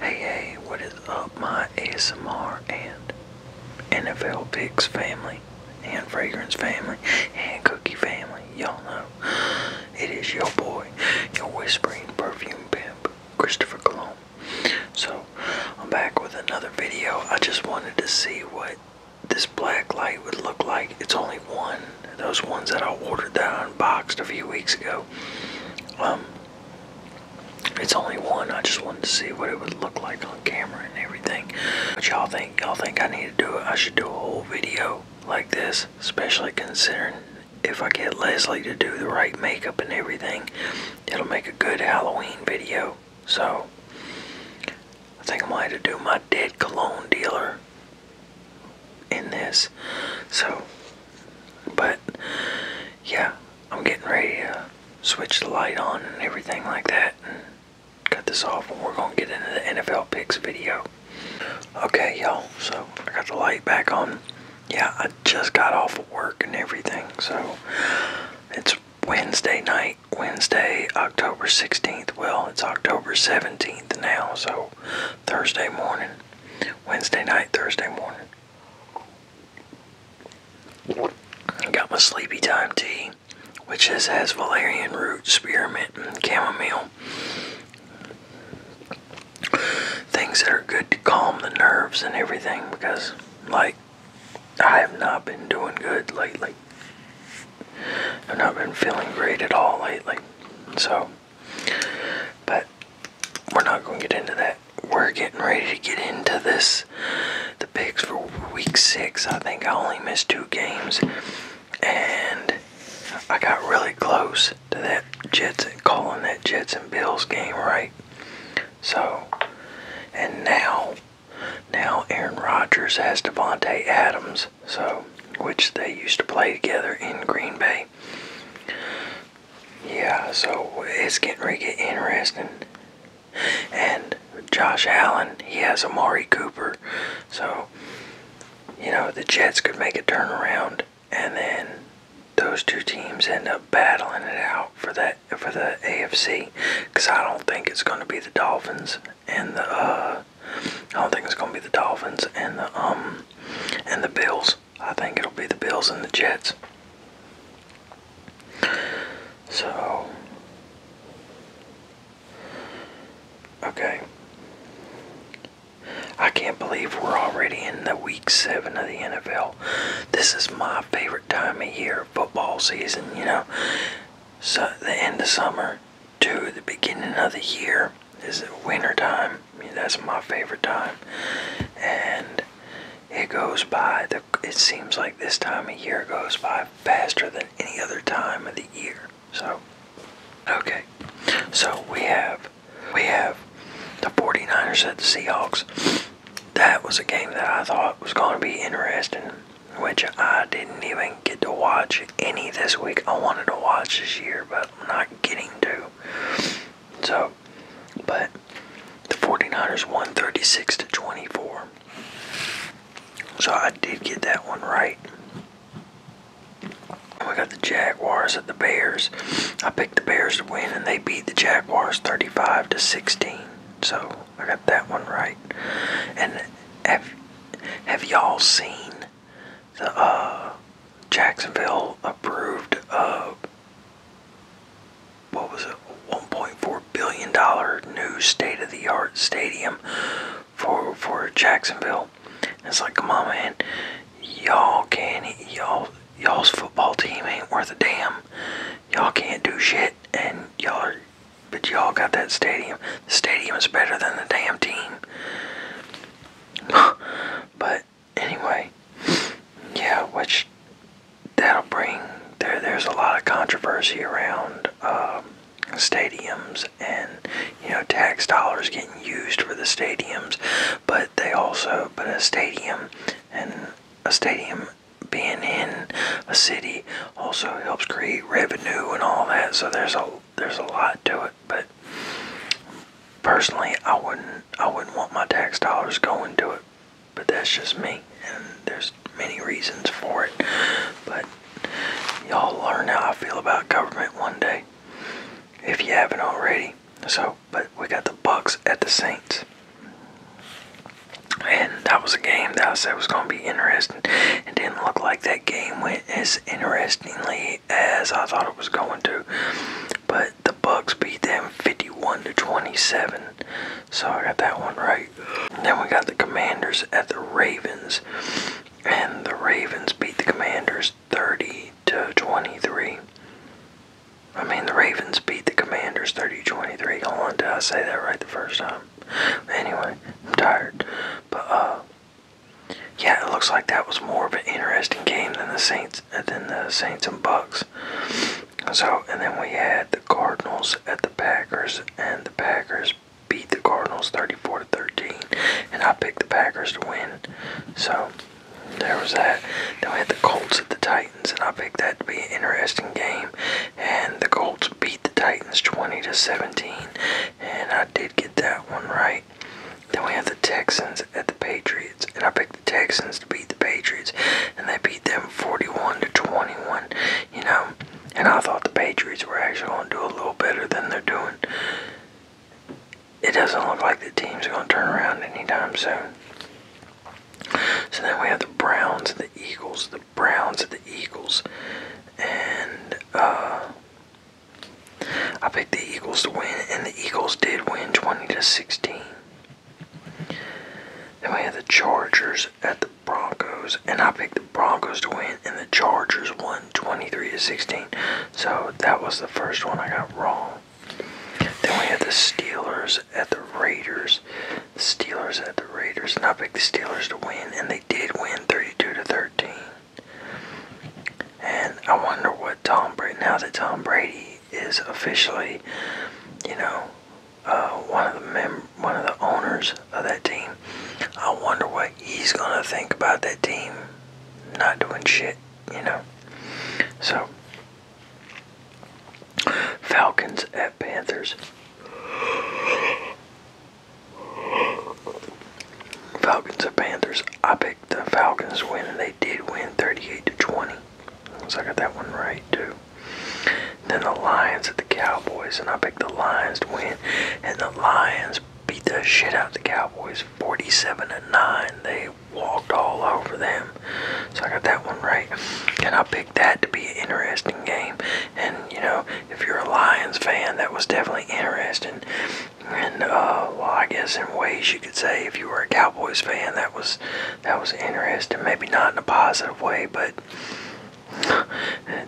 Hey, hey, what is up, my ASMR and NFL Picks family, and Fragrance family, and Cookie family? Y'all know it is your boy, your whispering perfume pimp, Christopher Colomb. So, I'm back with another video. I just wanted to see what this black light would look like. It's only one, those ones that I ordered that I unboxed a few weeks ago. Um, it's only one. I just wanted to see what it would look like on camera and everything. But y'all think y'all think I need to do it? I should do a whole video like this, especially considering if I get Leslie to do the right makeup and everything, it'll make a good Halloween video. So I think I am going to do my dead cologne dealer in this. So, but yeah, I'm getting ready to uh, switch the light on and everything like that and cut this off and we're going to get into the NFL picks video. Okay, y'all, so I got the light back on. Yeah, I just got off of work and everything, so it's Wednesday night, Wednesday, October 16th. Well, it's October 17th now, so Thursday morning. Wednesday night, Thursday morning. Got my sleepy time tea, which is, has valerian root, spearmint, and chamomile. Things that are good to calm the nerves and everything because, like, I have not been doing good lately. I've not been feeling great at all lately. So, but we're not going to get into that. We're getting ready to get into this. The picks for week six. I think I only missed two games. And I got really close to that Jets calling that Jets and Bills game right. So, and now, now Aaron Rodgers has Devonte Adams, so which they used to play together in Green Bay. Yeah, so it's getting really interesting. And Josh Allen, he has Amari Cooper. So, you know, the Jets could make a turnaround and then those two teams end up battling it out for that for the AFC cuz I don't think it's going to be the Dolphins and the uh I don't think it's gonna be the Dolphins and the um and the Bills. I think it'll be the Bills and the Jets. So okay. I can't believe we're already in the week seven of the NFL. This is my favorite time of year, football season, you know. the end of summer, to the beginning of the year is winter time. I mean, that's my favorite time, and it goes by. The, it seems like this time of year goes by faster than any other time of the year. So, okay, so we have we have the 49ers at the Seahawks. That was a game that I thought was going to be interesting, which I didn't even get to watch any this week. I wanted to watch this year, but I'm not getting to. So, but the 49ers won 36 to 24. So I did get that one right. We got the Jaguars at the Bears. I picked the Bears to win, and they beat the Jaguars 35 to 16. So I got that one right. And have have y'all seen the uh, Jacksonville approved a uh, what was it, 1.4 billion dollar new state-of-the-art stadium for for Jacksonville. it's like, come on, man, y'all can't, y'all y'all's football team ain't worth a damn. Y'all can't do shit, and y'all, but y'all got that stadium. The stadium is better than the damn team. but anyway, yeah, which that'll bring there. There's a lot of controversy around um, stadiums and you know tax dollars getting used for the stadiums, but they also but a stadium and a stadium being in a city also helps create revenue and all that. So there's a there's a lot to it. But personally, I wouldn't. I wouldn't want my tax dollars going to it. But that's just me, and there's many reasons for it. But y'all learn how I feel about government one day, if you haven't already. So, but we got the Bucks at the Saints. And that was a game that I said was going to be interesting. It didn't look like that game went as interestingly as I thought it was going to, but the Bucks beat them 51 to 27. So I got that one right. then we got the Commanders at the Ravens, and the Ravens beat the Commanders 30 to 23. I mean, the Ravens beat the Commanders 30-23. to Hold on, did I say that right the first time? Anyway, I'm tired. But, uh, yeah, it looks like that was more of an interesting game than the Saints uh, than the Saints and Bucks. So, and then we had the Cardinals at the Packers, and the Packers beat the Cardinals 34 to 13, and I picked the Packers to win. So, there was that. Then we had the Colts at the Titans, and I picked that to be an interesting game. And the Colts beat the Titans 20 to 17, and I did get that one right. Then we have the Texans at the Patriots, and I picked the Texans to beat the Patriots, and they beat them 41 to 21. You know, and I thought the Patriots were actually going to do a little better than they're doing. It doesn't look like the team's going to turn around anytime soon. So then we have the Browns, the Eagles, the Browns, the Eagles, and uh, I picked the Eagles to win, and the Eagles did win 20 to 16. Then we had the Chargers at the Broncos, and I picked the Broncos to win, and the Chargers won 23 to 16. So that was the first one I got wrong. Then we had the Steelers at the Raiders. The Steelers at the the Raiders, and I picked the Steelers to win, and they did win 32 to 13. And I wonder what Tom Brady, now that Tom Brady is officially, you know, uh, one of the mem- one of the owners of that team, I wonder what he's gonna think about that team not doing shit, you know. So Falcons at Panthers. Falcons and Panthers. I picked the Falcons win, and they did win 38 to 20. So I got that one right too. Then the Lions and the Cowboys, and I picked the Lions to win, and the Lions beat the shit out of the Cowboys, 47 to 9. They walked all over them. So I got that one right. And I picked that to be an interesting game. And you know, if you're a Lions fan, that was definitely interesting. And uh, well, I guess in ways you could say if you were a Cowboys fan, that was that was interesting. Maybe not in a positive way, but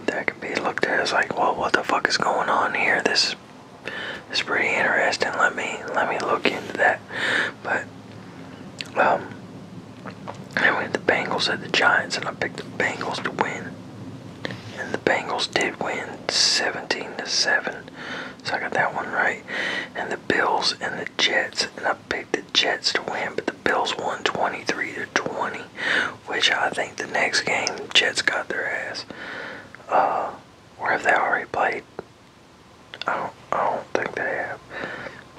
that could be looked at as like, well, what the fuck is going on here? This is it's pretty interesting. Let me let me look into that. But um, I went had the Bengals at the Giants, and I picked the Bengals to win. And the Bengals did win 17 to 7. So I got that one right. And the Bills and the Jets, and I picked the Jets to win, but the Bills won 23 to 20, which I think the next game the Jets got their ass. Uh, or have they already played? I don't, I don't think they have.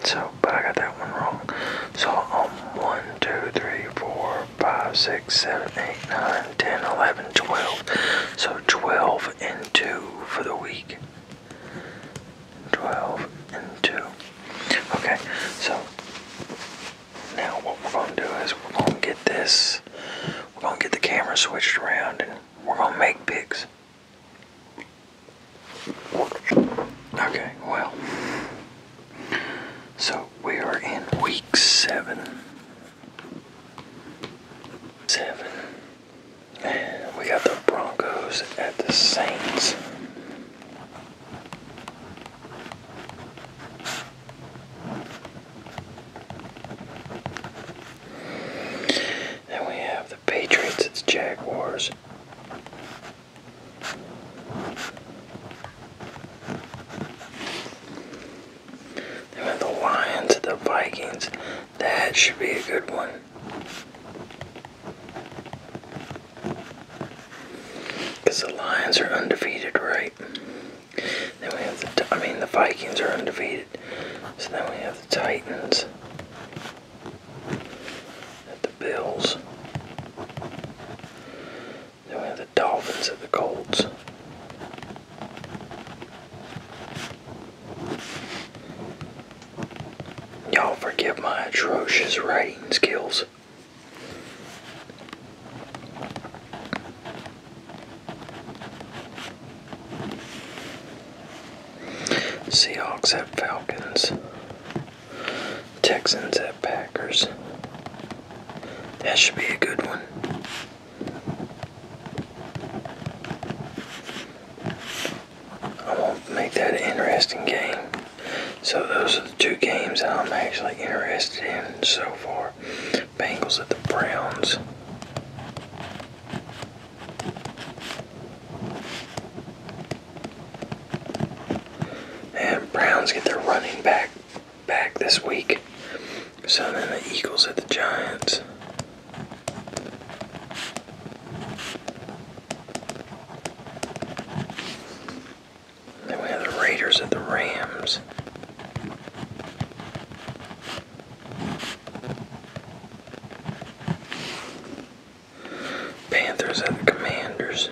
So out, but I got that one wrong. So um, 1, 2, 3, 4, 5, 6, 7, 8, 9, 10, 11, 12. So 12 and 2 for the week. 12 and 2. Okay, so now what we're going to do is we're going to get this, we're going to get the camera switched around and we're going to make pics. Okay, well, so we are in week seven. Seven. And we got the Broncos at the Saints. Then we have the Patriots, it's Jaguars. And the Lions, the Vikings. That should be a good one. Because the Lions are undefeated, right? Then we have the, I mean, the Vikings are undefeated. So then we have the Titans at the Bills. Then we have the Dolphins at the Colts. Y'all forgive my atrocious writing skills. Seahawks have Falcons. Texans at Packers. That should be a good one. I won't make that an interesting game. So those are the two games that I'm actually interested in so far. Bengals at the Browns. And Browns get their running back back this week. So then the Eagles at the Giants. then we have the Raiders at the Rams. Panthers at the Commanders.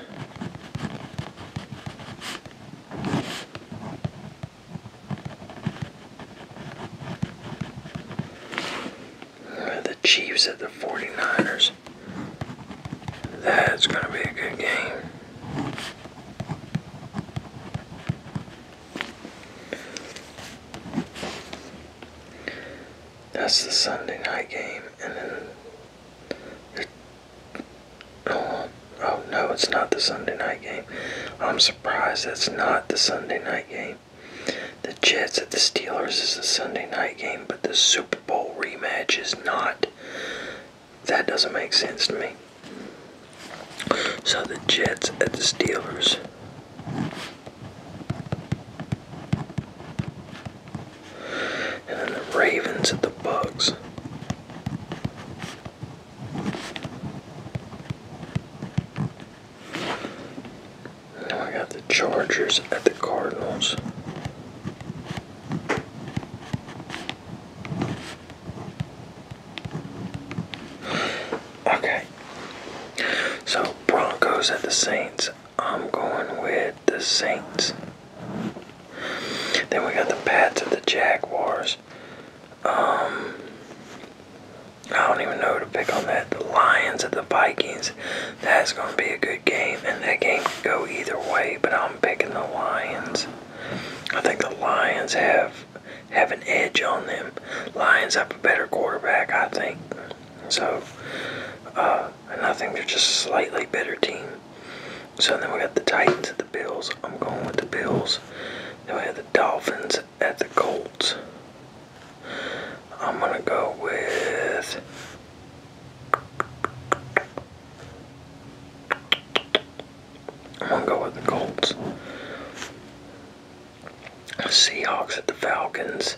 The Chiefs at the 49ers. That's going to be a good game. That's the Sunday night game, and then oh, oh no, it's not the Sunday night game. I'm surprised that's not the Sunday night game. The Jets at the Steelers is a Sunday night game, but the Super Bowl rematch is not. That doesn't make sense to me. So the Jets at the Steelers. And then the Ravens at the Bucks. Now I got the Chargers at the Cardinals. Okay. So Broncos at the Saints. I'm going with the Saints. Then we got the Pats of the Jaguars. Um, I don't even know to pick on that. The Lions of the Vikings. That's going to be a good game. And that game could go either way, but I'm picking the Lions. I think the Lions have have an edge on them. Lions have a better quarterback, I think. So, uh, and I think they're just slightly better team. So then we got the Titans at the Bills. I'm going with the Bills. Then we have the Dolphins at the Colts. I'm gonna go with. I'm gonna go with the Colts. Seahawks at the Falcons.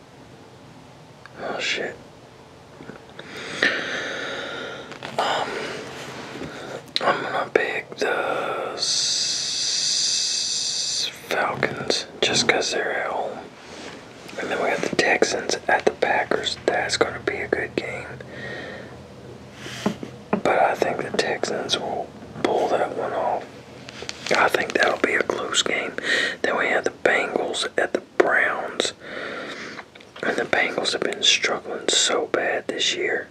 Oh shit. Um, I'm gonna pick the Falcons just because they're at home. And then we got the Texans at the Packers. That's gonna be a good game. But I think the Texans will pull that one off. I think that'll be a close game. Then we have the Bengals at the Browns. And the Bengals have been struggling so bad this year.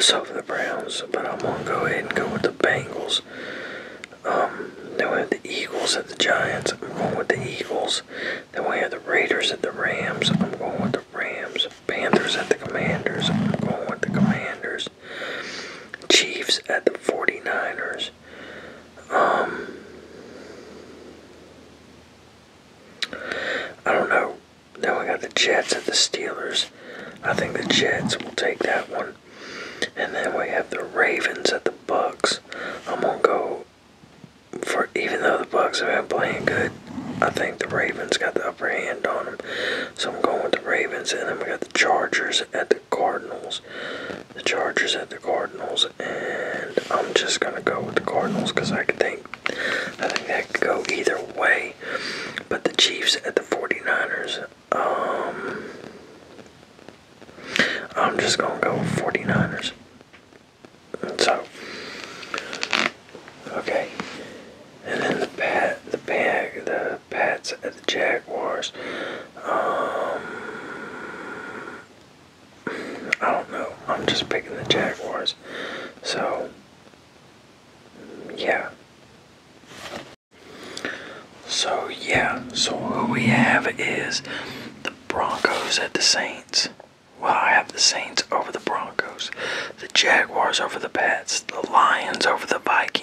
So for the Browns, but I'm gonna go ahead and go with the Bengals. Um, then we have the Eagles at the Giants. I'm going with the Eagles. Then we have the Raiders at the Rams. I'm going with the Rams. Panthers at the Commanders. I'm going with the Commanders. Chiefs at the 49ers. Um, I don't know. Now we got the Jets at the Steelers. I think the Jets will take that one. And then we have the Ravens at the Bucks. I'm gonna go for even though the Bucks have been playing good, I think the Ravens got the upper hand on them. So I'm going with the Ravens, and then we got the Chargers at the Cardinals. The Chargers at the Cardinals, and I'm just gonna go with the Cardinals because I think I think that could go either way. But the Chiefs at the 49ers, um, I'm just gonna go with 49ers. So, okay and then the Pat, the pack, the Pats at the Jaguars. Um, I don't know. I'm just picking the Jaguars. So, yeah. So, yeah. So, who we have is the Broncos at the Saints. Well, I have the Saints over the Broncos, the Jaguars over the Pats, the Lions over the Vikings.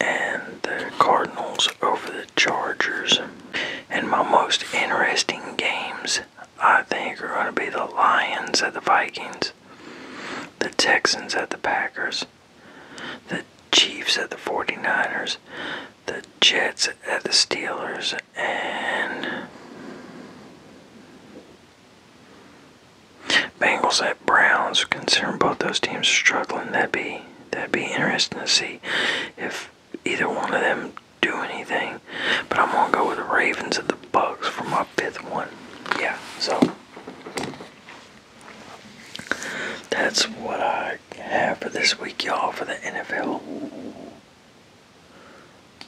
and the Cardinals over the Chargers. And my most interesting games, I think, are going to be the Lions at the Vikings, the Texans at the Packers, the Chiefs at the 49ers, the Jets at the Steelers, and Bengals at Browns. Considering both those teams are struggling, that'd be That'd be interesting to see if either one of them do anything. But I'm gonna go with the Ravens and the Bucks for my fifth one. Yeah, so that's what I have for this week, y'all, for the NFL.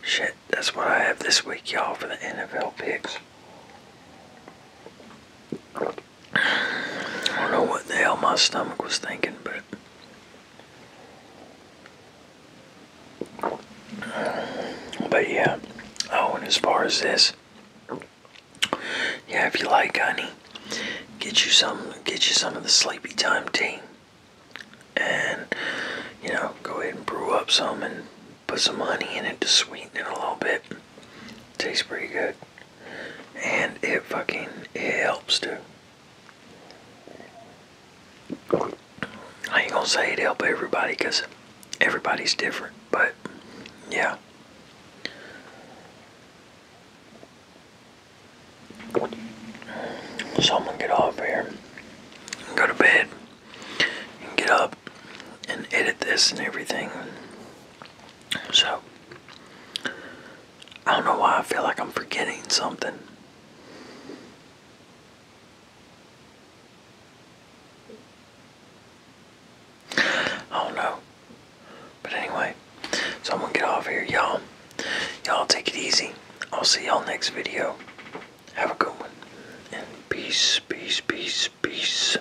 Shit, that's what I have this week, y'all, for the NFL picks. I don't know what the hell my stomach was thinking, but. But yeah. Oh, and as far as this, yeah, if you like honey, get you some, get you some of the sleepy time tea, and you know, go ahead and brew up some and put some honey in it to sweeten it a little bit. Tastes pretty good and it fucking it helps too. I ain't gonna say it helps everybody because everybody's different, but yeah. So I'm gonna get off here, and go to bed, and get up, and edit this and everything. So, I don't know why I feel like I'm forgetting something. I do But anyway, so I'm gonna get off here, y'all. Y'all take it easy. I'll see y'all next video. Have a good one. And peace, peace, peace, peace.